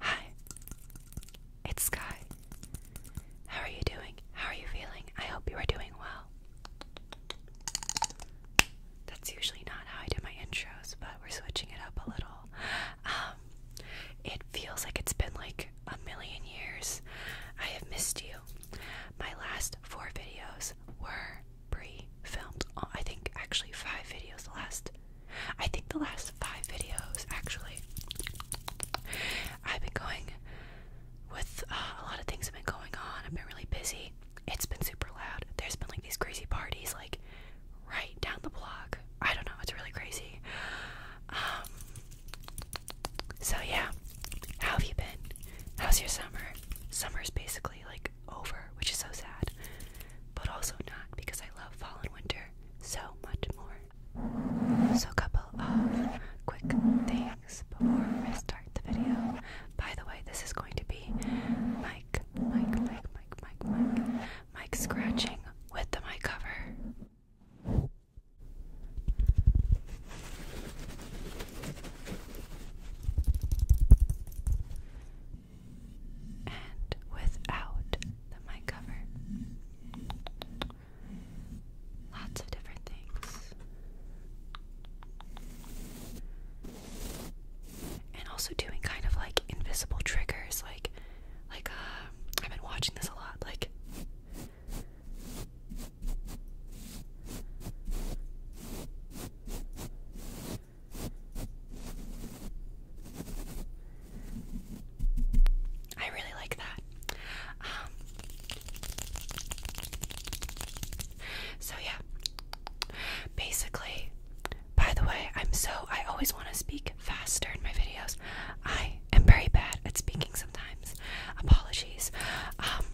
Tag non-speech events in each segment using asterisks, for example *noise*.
Hi, it's Sky. How are you doing? How are you feeling? I hope you are doing well. That's usually not how I do my intros, but we're switching it up a little. Um, it feels like it's been like a million years. I have missed you. My last four videos were pre filmed. Oh, I think actually five videos. The last, I think the last five videos actually. I've been going with uh, a lot of things have been going on. I've been really busy. It's been super loud. There's been like these crazy parties, like right down the block. I don't know, it's really crazy. Um, so, yeah, how have you been? How's your summer? Summer's basically like over, which is so sad, but also not because I love fall and winter so much more. So, a couple of quick things before we start the video. By the way, this is going to be Mike, Mike, Mike, Mike, Mike, Mike, Mike scratching with the mic cover. And without the mic cover, lots of different things, and also doing kind of like invisible triggers, like like uh, I've been watching this a lot, like I really like that. Um, so yeah, basically, by the way, I'm so I always want to speak faster in my videos. I am very bad at speaking sometimes. Apologies. Um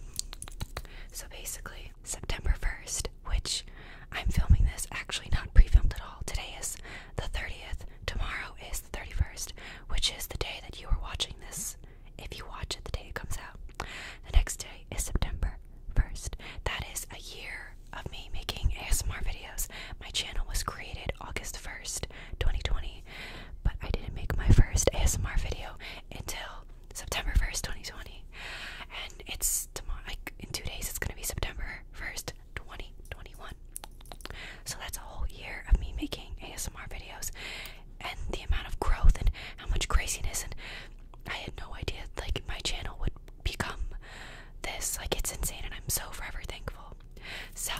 so basically September 1st, which I'm filming this actually not pre-filmed at all. Today is the 30th. Tomorrow is the 31st, which is the day that you are watching this. If you watch it the day it comes out. The next day is September 1st. That is a year of me making ASMR videos. My channel was created August 1st, 2020, but I didn't make my first ASMR video until September 1st, 2020. And it's tomorrow, like in two days, it's gonna be September 1st, 2021. So that's a whole year of me making ASMR videos and the amount of growth and how much craziness and I had no idea like my channel would become this. Like it's insane, and I'm so forever thankful. So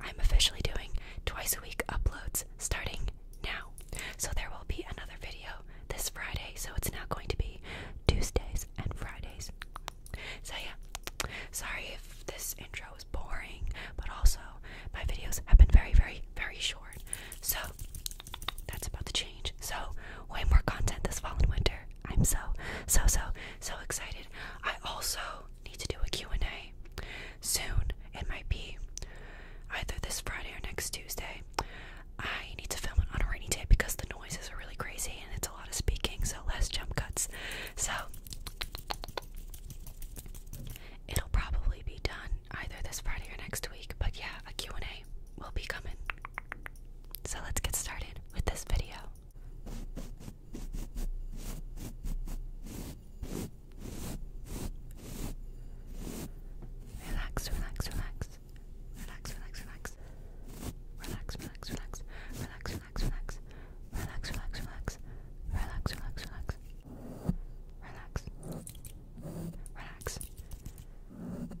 I'm officially doing twice a week uploads starting now. So there will be another video this Friday. So it's now going to be Tuesdays and Fridays. So yeah, sorry if this intro is boring, but also my videos have been very, very, very short. So that's about to change. So way more content this fall and winter. I'm so, so, so, so excited. I also need to do a Q&A soon. It might be either this Friday or next Tuesday. I need to film it on a rainy day because the noises are really crazy and it's a lot of speaking, so less jump cuts. So it'll probably be done either this Friday or next week, but yeah, a Q&A will be coming. So let's get started with this video. Relax, relax, relax. Relax, relax, relax. Relax, relax, relax. Relax, relax, relax. Relax, relax, relax. Relax, relax, relax. Relax. Relax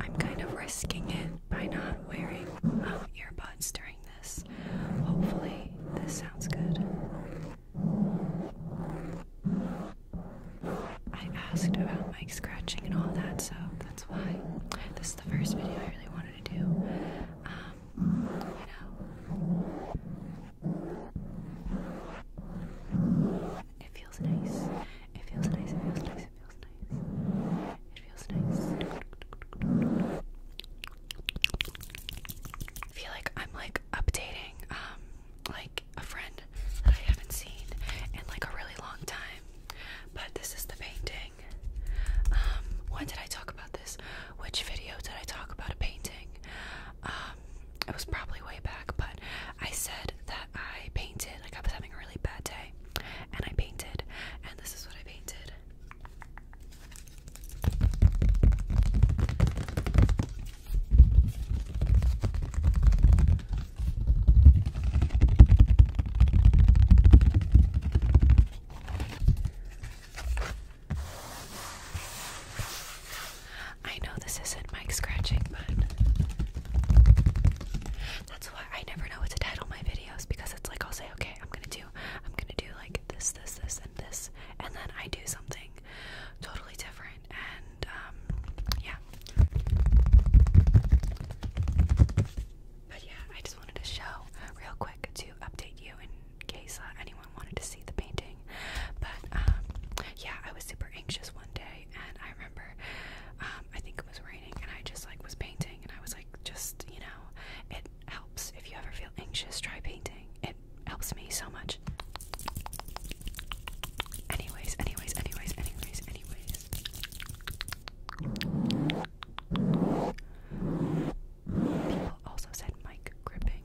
I'm kind of risking it by not wearing um, earbuds during this. Hopefully, this sounds good. I asked about mic scratching and all that, so that's why this is the first video I really wanted to do. Um, you know, it feels nice. It feels nice. It feels nice feels nice. It feels nice. I feel like I'm like updating um like a friend that I haven't seen in like a really long time. But this is the painting. Um when did I talk about this? Which video did I talk about a painting? Um it was probably way back, but I said that I painted. Like, I was having a really bad day, and I painted, and this is what I painted. I know this isn't mic scratching, but that's why I never know what to title my videos because it's like I'll say, okay, I'm gonna do, I'm gonna do like this, this, this, and this, and then I do something totally different, and um, yeah. But yeah, I just wanted to show real quick to update you in case uh, anyone wanted to see the painting. But um, yeah, I was super anxious one day and I remember, um, I think it was raining, and I just like was painting, and I was like, just you know, it helps if you ever feel anxious, try painting. It helps me so much. Anyways, anyways, anyways, anyways, anyways. People also said mic gripping.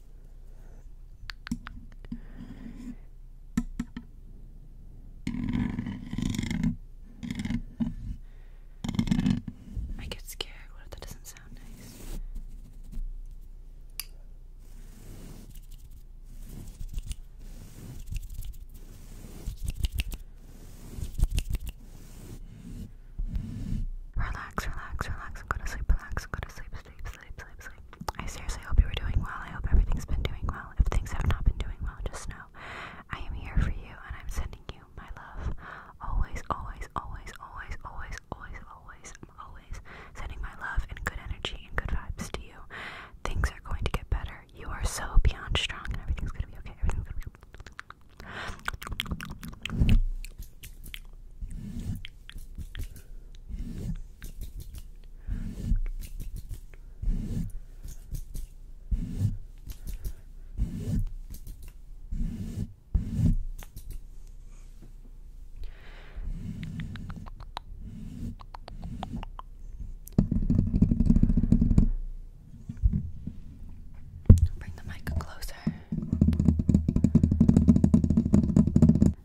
I get scared. What if that doesn't sound nice? Relax, relax, relax. I'm going to sleep, relax. i to sleep, sleep, sleep, sleep, sleep. I seriously hope you are doing well. I hope everything's been doing well. If things have not been doing well, just know I am here for you and I'm sending you my love. Always, always, always, always, always, always, always, I'm always sending my love and good energy and good vibes to you. Things are going to get better. You are so beyond strong and everything's gonna be okay. Everything's gonna be okay. Bring the mic closer.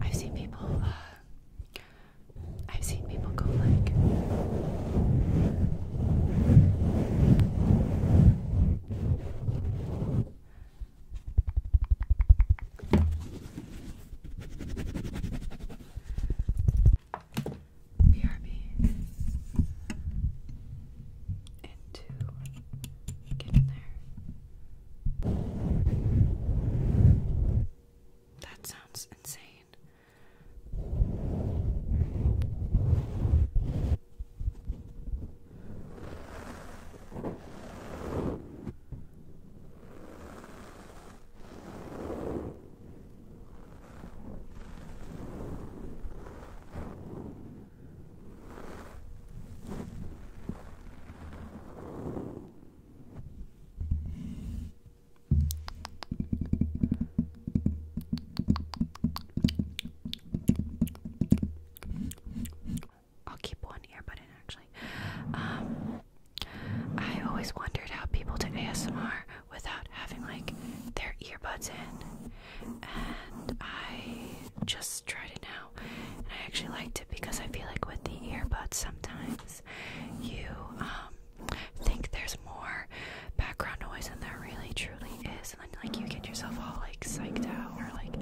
I've seen people. Uh, I've seen people go like. BRB and to get in there that sounds insane. I'll keep one earbud in actually. Um, I always wondered how people did ASMR without having like their earbuds in, and I just tried it now I actually liked it because I feel like with the earbuds, sometimes you um, think there's more background noise than there really truly is, and then like you get yourself all like psyched out or like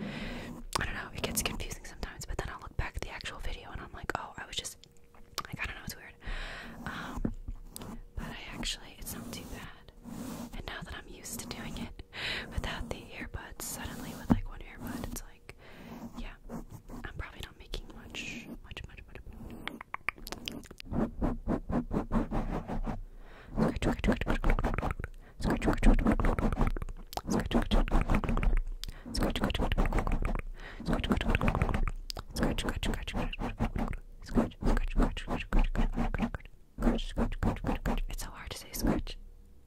I don't know. It gets confusing sometimes. But then I'll look back at the actual video and I'm like, oh, I was just like I don't know. It's weird. Um, but I actually, it's not too bad. And now that I'm used to doing it, without the earbuds. Suddenly, with like one earbud, it's like, yeah, I'm probably not making much, much, much, much. Scratch, scratch, scratch, scratch, scratch, scratch, scratch, scratch, scratch, scratch, scratch. It's so hard to say scratch.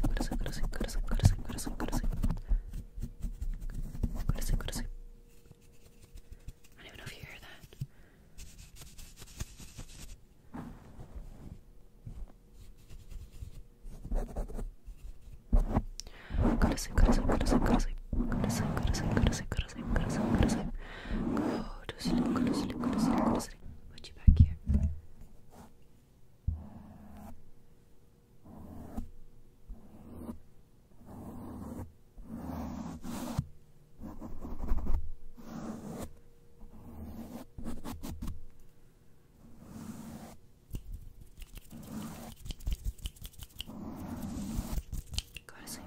corazón, corazón, corazón, corazón, corazón, corazón, corazón. Corazón, corazón. I don't even know if you hear that. Corazón, corazón, corazón, corazón. Corazón, corazón, corazón, corazón, corazón, corazón. Go to sleep, go to sleep, go to sleep, go to sleep. Put you back here. Go to sleep.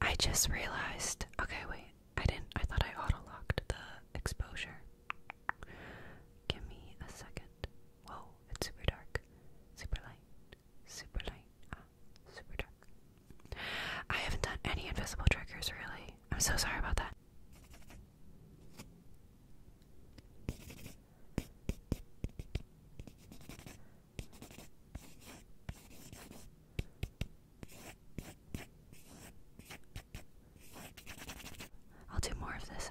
I just realized. Okay, wait. I didn't. I thought I auto locked the exposure. Give me a second. Whoa, it's super dark. Super light. Super light. Ah, super dark. I haven't done any invisible triggers really. I'm so sorry about that. I'll do more of this.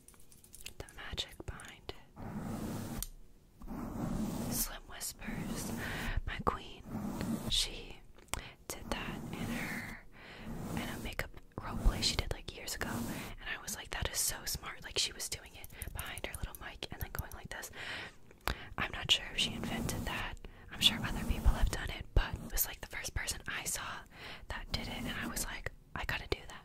the magic behind it. Slim whispers, My queen, she did that in her in a makeup role play she did like years ago, and I was like, That is so smart. Like, she was doing it behind her little mic and then going like this. I'm not sure if she invented that. I'm sure other people have done it, but it was like the first person I saw that did it, and I was like, I gotta do that.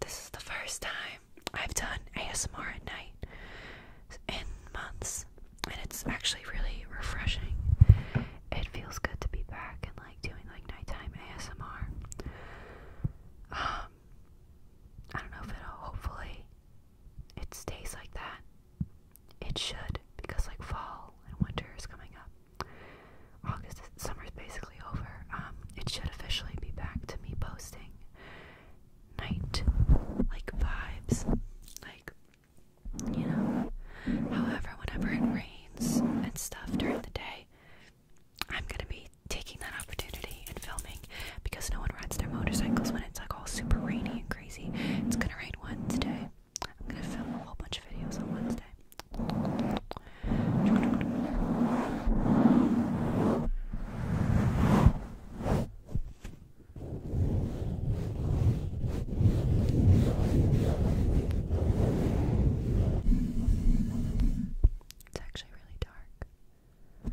This is the first time I've done ASMR at night in months, and it's actually really refreshing. It feels good to be back and like doing like nighttime ASMR. Um, I don't know if it'll hopefully it stays like that it should, because like fall and winter is coming up. August, summer is basically over. Um, it should officially be back to me posting night like vibes, like you know. However, whenever it rains and stuff during the day, I'm gonna be taking that opportunity and filming because no one rides their motorcycles when it's like all super rainy and crazy. It's gonna rain Wednesday. I'm gonna film a whole bunch of videos on Wednesday. It's actually really dark.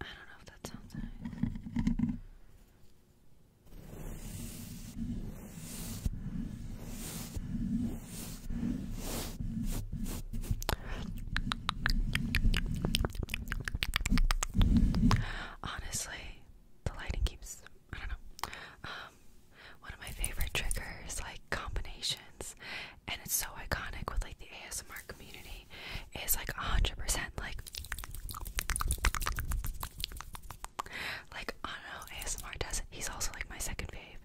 I don't know if that sounds nice. Honestly, the lighting keeps I don't know. Um one of my favorite triggers like combinations and it's so iconic with like the ASMR community is like 100% like like I ASMR does He's also like my second fave.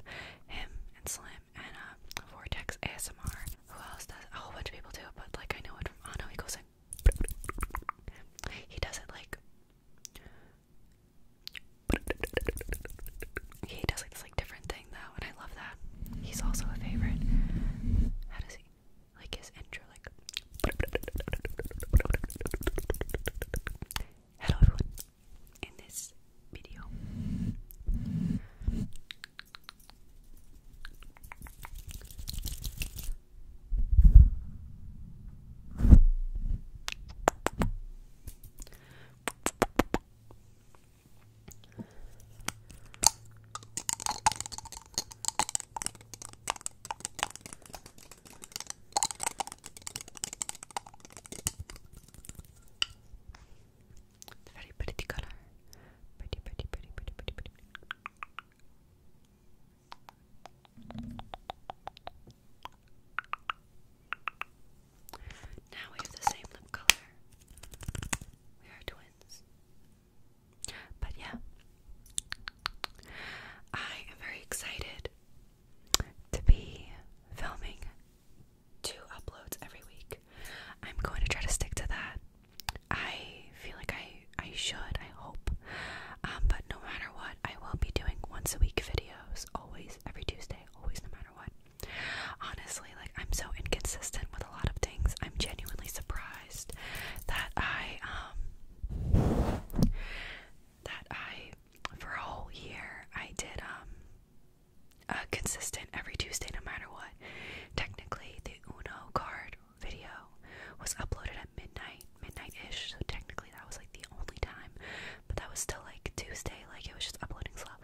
Him and Slim and uh Vortex ASMR. Who else does a whole bunch of people do but like I know it from I he goes like he does it like he does like this like different thing though, I love that. He's also a favorite. How does he like his intro? Like, hello everyone. In this video, it's a very pretty color. Pretty, pretty, pretty, pretty, pretty, pretty. Now we have the same lip color. We are twins. But yeah, I am very excited to be filming two uploads every week. I'm going to try to stick to that. I feel like I I should, I hope. Um, but no matter what, I will be doing once a week videos, always every Tuesday, always no matter what. Honestly, like I'm so inconsistent with a lot of things. I'm genuinely surprised that I um that I for a whole year I did um consistent every Tuesday no matter what. Technically the Uno card video was uploaded at midnight, midnight ish, so technically that was like the only time. But that was still like Tuesday, like it was just uploading slow.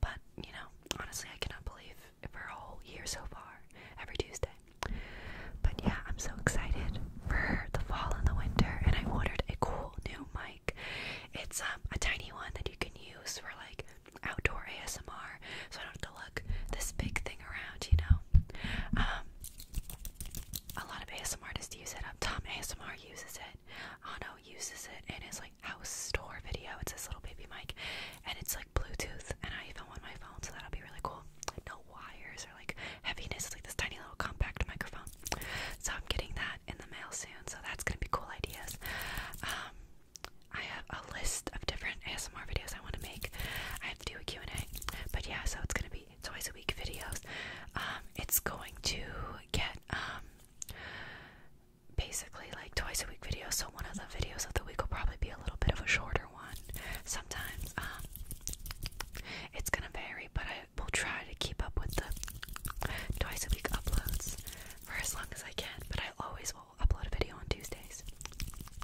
But you know, honestly I cannot believe for a whole year so far, every Tuesday. But yeah, I'm so excited for the fall and the winter, and I ordered a cool new mic. It's um, a tiny one that you can use for like outdoor ASMR, so I don't have to lug this big thing around, you know. Um, a lot of ASMR artists use it. Tom ASMR uses it. Ano uses it in his like house store video. It's this little baby mic, and it's like Bluetooth, and I even want my phone, so that'll be really cool. No wires or like heaviness. It's like this tiny little compact microphone. So I'm getting that in the mail soon. So that's gonna be cool ideas. Um, I have a list of different ASMR videos I want to make. I have to do a Q&A, but yeah, so it's gonna be twice a week videos. Um, it's going to get um basically like twice a week videos, so one of the videos of the week will probably be a little bit of a shorter one. Sometimes um, it's gonna vary, but I will try to keep up with the twice a week uploads for as long as I can. But I always will upload a video on Tuesdays.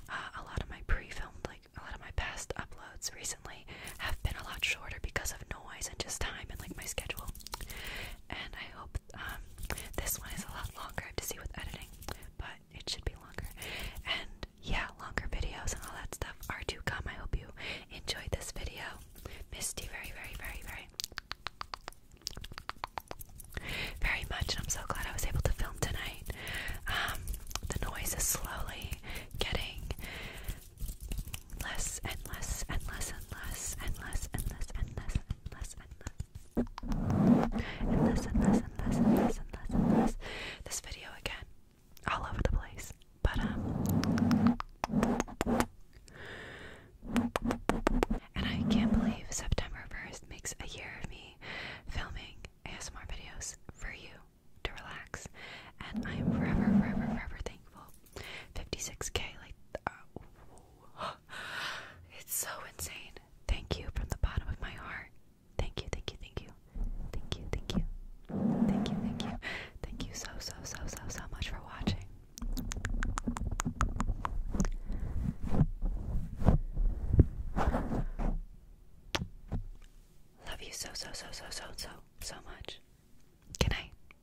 Uh, a lot of my pre-filmed, like a lot of my past uploads recently, have been a lot shorter because of noise and just time and like my schedule. And I hope um, this one is a lot longer. I have to see with editing, but it should be longer. And yeah, longer videos and all that stuff are to come. I hope you enjoyed this video. Missed you very, very, very, very, very much. And I'm so glad I was able to film tonight. Um, the noise is slowly getting less and less and less and less and less and less and less and less. And less less and less. And less and less and less and less This video again, all over the place. But um and I can't believe September 1st makes a year of me filming ASMR videos for you to relax. And I am forever, forever, forever thankful. 56k, like, uh, *gasps* It's so insane. Thank you from the bottom of my heart. Thank you, thank you, thank you. Thank you, thank you. Thank you, thank you. Thank you so, so, so, so, so much for watching. Love you so, so, so, so, so, so, so much. Good night.